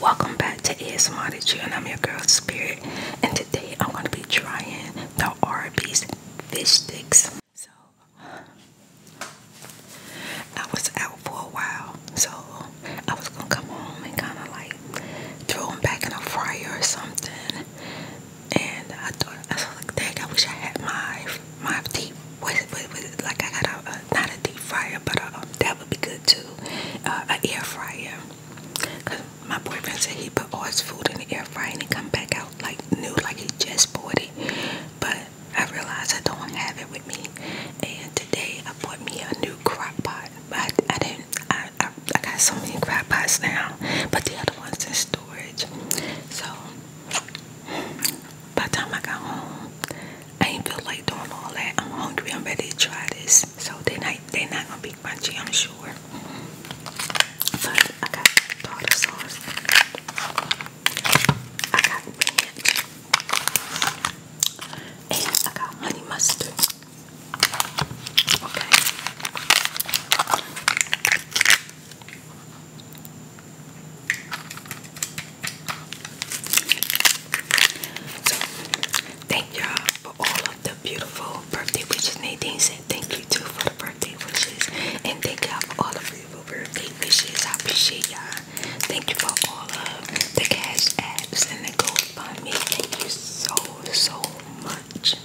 Welcome back to ASMR the Jew, and I'm your girl Spirit. And today I'm gonna be trying the Arby's fish sticks. So I was out for a while, so I was gonna come home and kind of like throw them back in a fryer or something. And I thought I was like, dang, I wish I had my my deep. like I got a, not a deep fryer, but a, um, would be good too. Uh, a air fryer. Cause my boyfriend said he put all his food in the air fryer and he come back out like new, like he just bought it. But I realized I don't have it with me. And today I bought me a new crock pot. But I, didn't. I I got so many crock pots now, but the other ones in storage. So by the time I got home, I ain't feel like doing all that. I'm hungry. I'm ready to try this. So they're not they're not gonna be crunchy, I'm sure. I got tartar sauce. I got ranch. And I got honey mustard thank y'all for all of the beautiful birthday wishes. Nadine said thank you too for the birthday wishes. And thank y'all for all of beautiful birthday wishes. I appreciate y'all. Thank you for all of the cash apps and the GoFundMe. Thank you so, so much.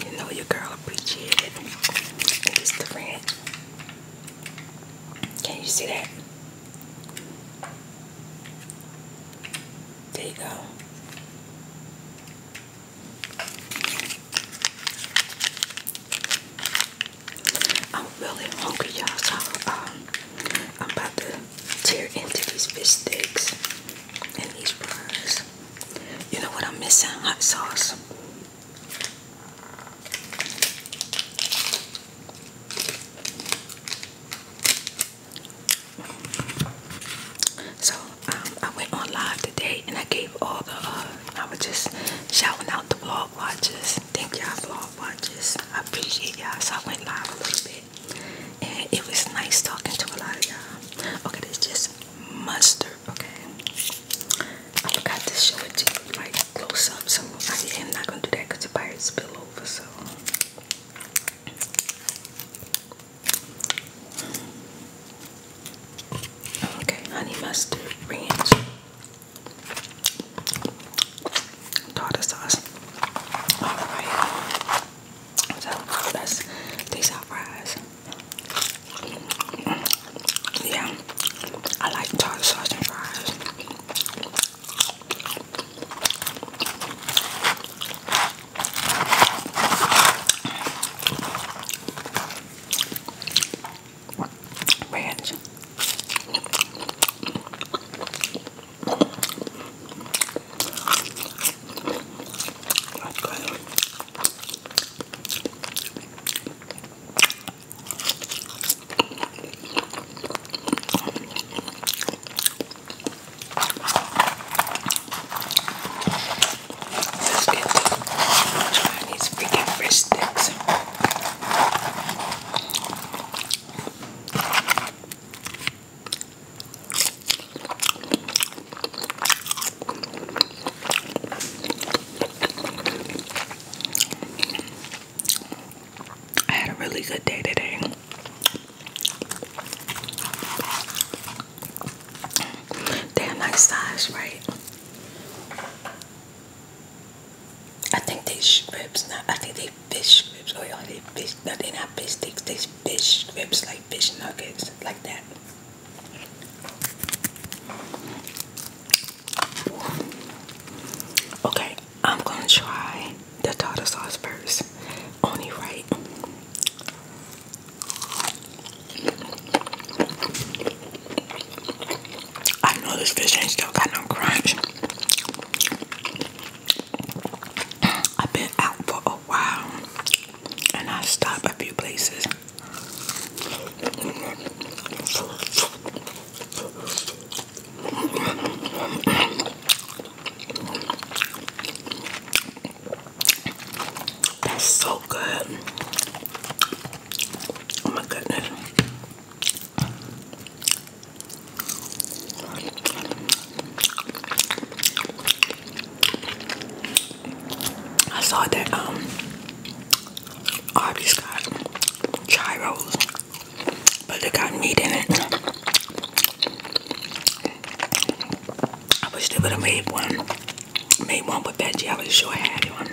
You know your girl appreciate it. It's the ranch. Can you see that? There you go. I'm really hungry, y'all. So um, I'm about to tear into these fish sticks in these fries. You know what I'm missing? Hot sauce. So um, I went on live today and I gave all the, uh, I was just shouting out the vlog watches. Thank y'all vlog watchers. I appreciate y'all. So I went live a little bit and it was nice talking to a lot of y'all. Okay, this just mustard. Okay, I forgot to show it to you like close up, so I am not gonna do that because the pirates spill over. So. Okay, honey mustard, ranch, tartar sauce. All right. So that's these are fries. Yeah, I like tartar sauce and fries. Ranch. That's good. Let's get the Chinese freaking fish sticks. I had a really good day today. Damn nice size, right? I think they ribs. Not, I think they fish strips. Oh, you they fish, Nothing they not fish sticks, they fish strips, like fish nuggets, like that. Okay, I'm gonna try the tartar sauce first. Only right. I know this fish ain't still got no crunch. I've been out for a while and I stopped a few places. so good. Oh my goodness. I saw that um Arby's got gyros, but they got meat in it. I wish they would have made one, made one with veggie. I would have sure had one.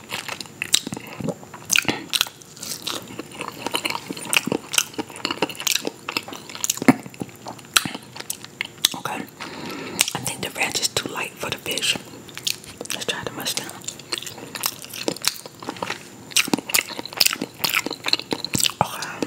Okay. I think the ranch is too light for the fish. Let's try the mustard. Okay.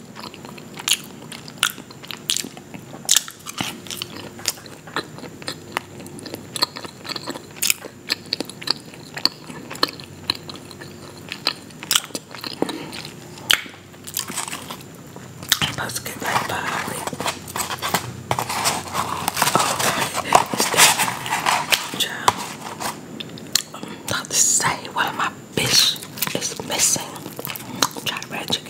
I'm supposed to get like five. Okay, it's child. I'm um, about to say, what am I Bitch is missing. Try red chicken.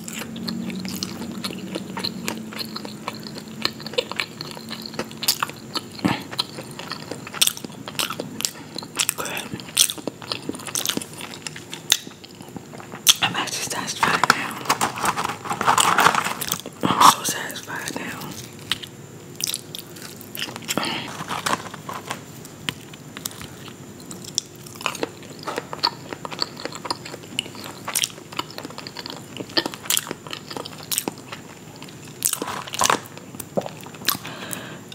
I'm actually satisfied now. I'm so satisfied now.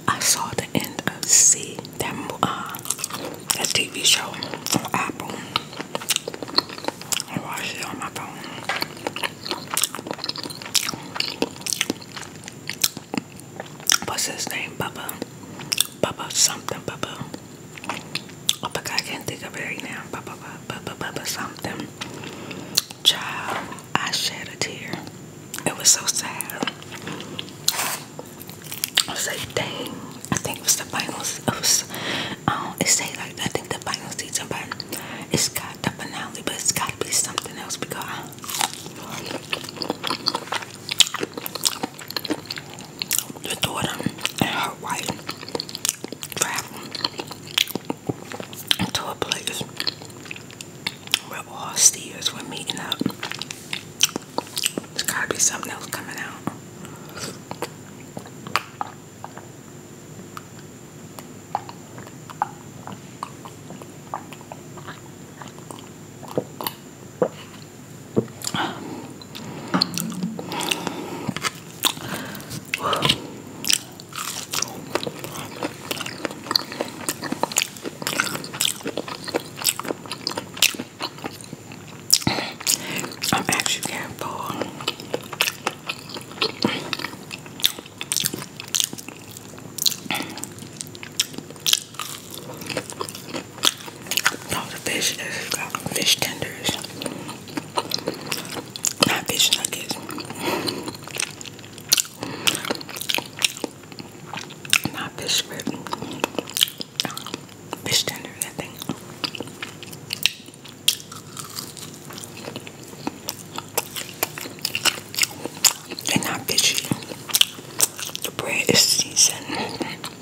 I saw the end of C that uh, that TV show on Apple. What's his name, Bubba? Bubba something, Bubba. Oh my I can't think of it right now. Bubba, Bubba, Bubba, Bubba something. Child, I shed a tear. It was so sad. I was like, dang. I think it was the finals. It was, um, say like I think the finals season, but it's got the finale, but it's got to be something else because the daughter and her wife traveling to a place where all steers were meeting up. There's gotta be something else coming out. I'm actually careful. No, the fish is fish tenders, not fish nuggets. Not fish script. Fish tender, I think. they not fishy. The bread is seasoned.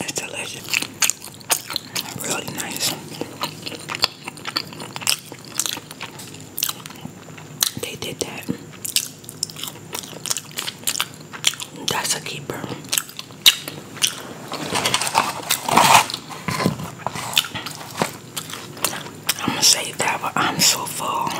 It's delicious. Really nice. They did that. That's a keeper. I'm gonna save that, but I'm so full.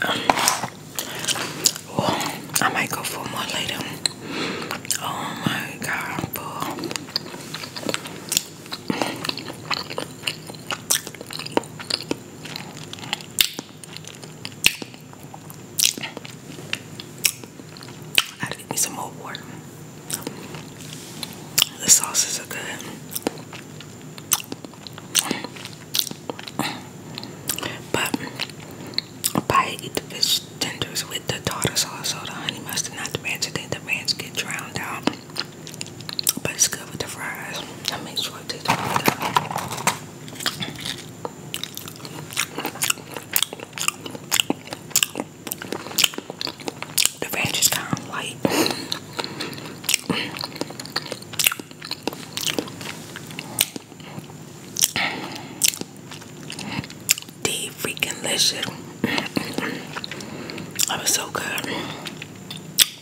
Um, I might go for more later. Oh my god, boo. I got some more The sauces are good. But Pie buy the fish tenders with the tartar sauce or the honey mustard, not the ranch. I think the ranch get drowned out. But it's good with the fries. I make sure it tastes really good. The ranch is kind of light. The freaking delicious. that was so good.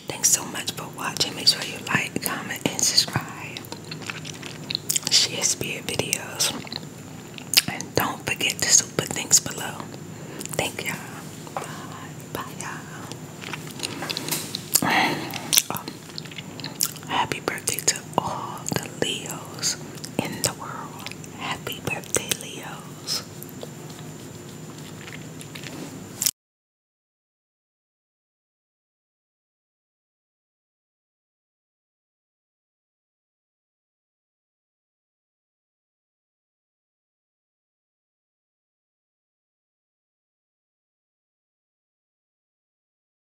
Thanks so much for watching. Make sure you like, comment, and subscribe. Share spirit videos. And don't forget to super things below. Thank y'all. Bye. Bye y'all. Oh, Happy birthday to all the Leos in the world. Happy birthday, Leos.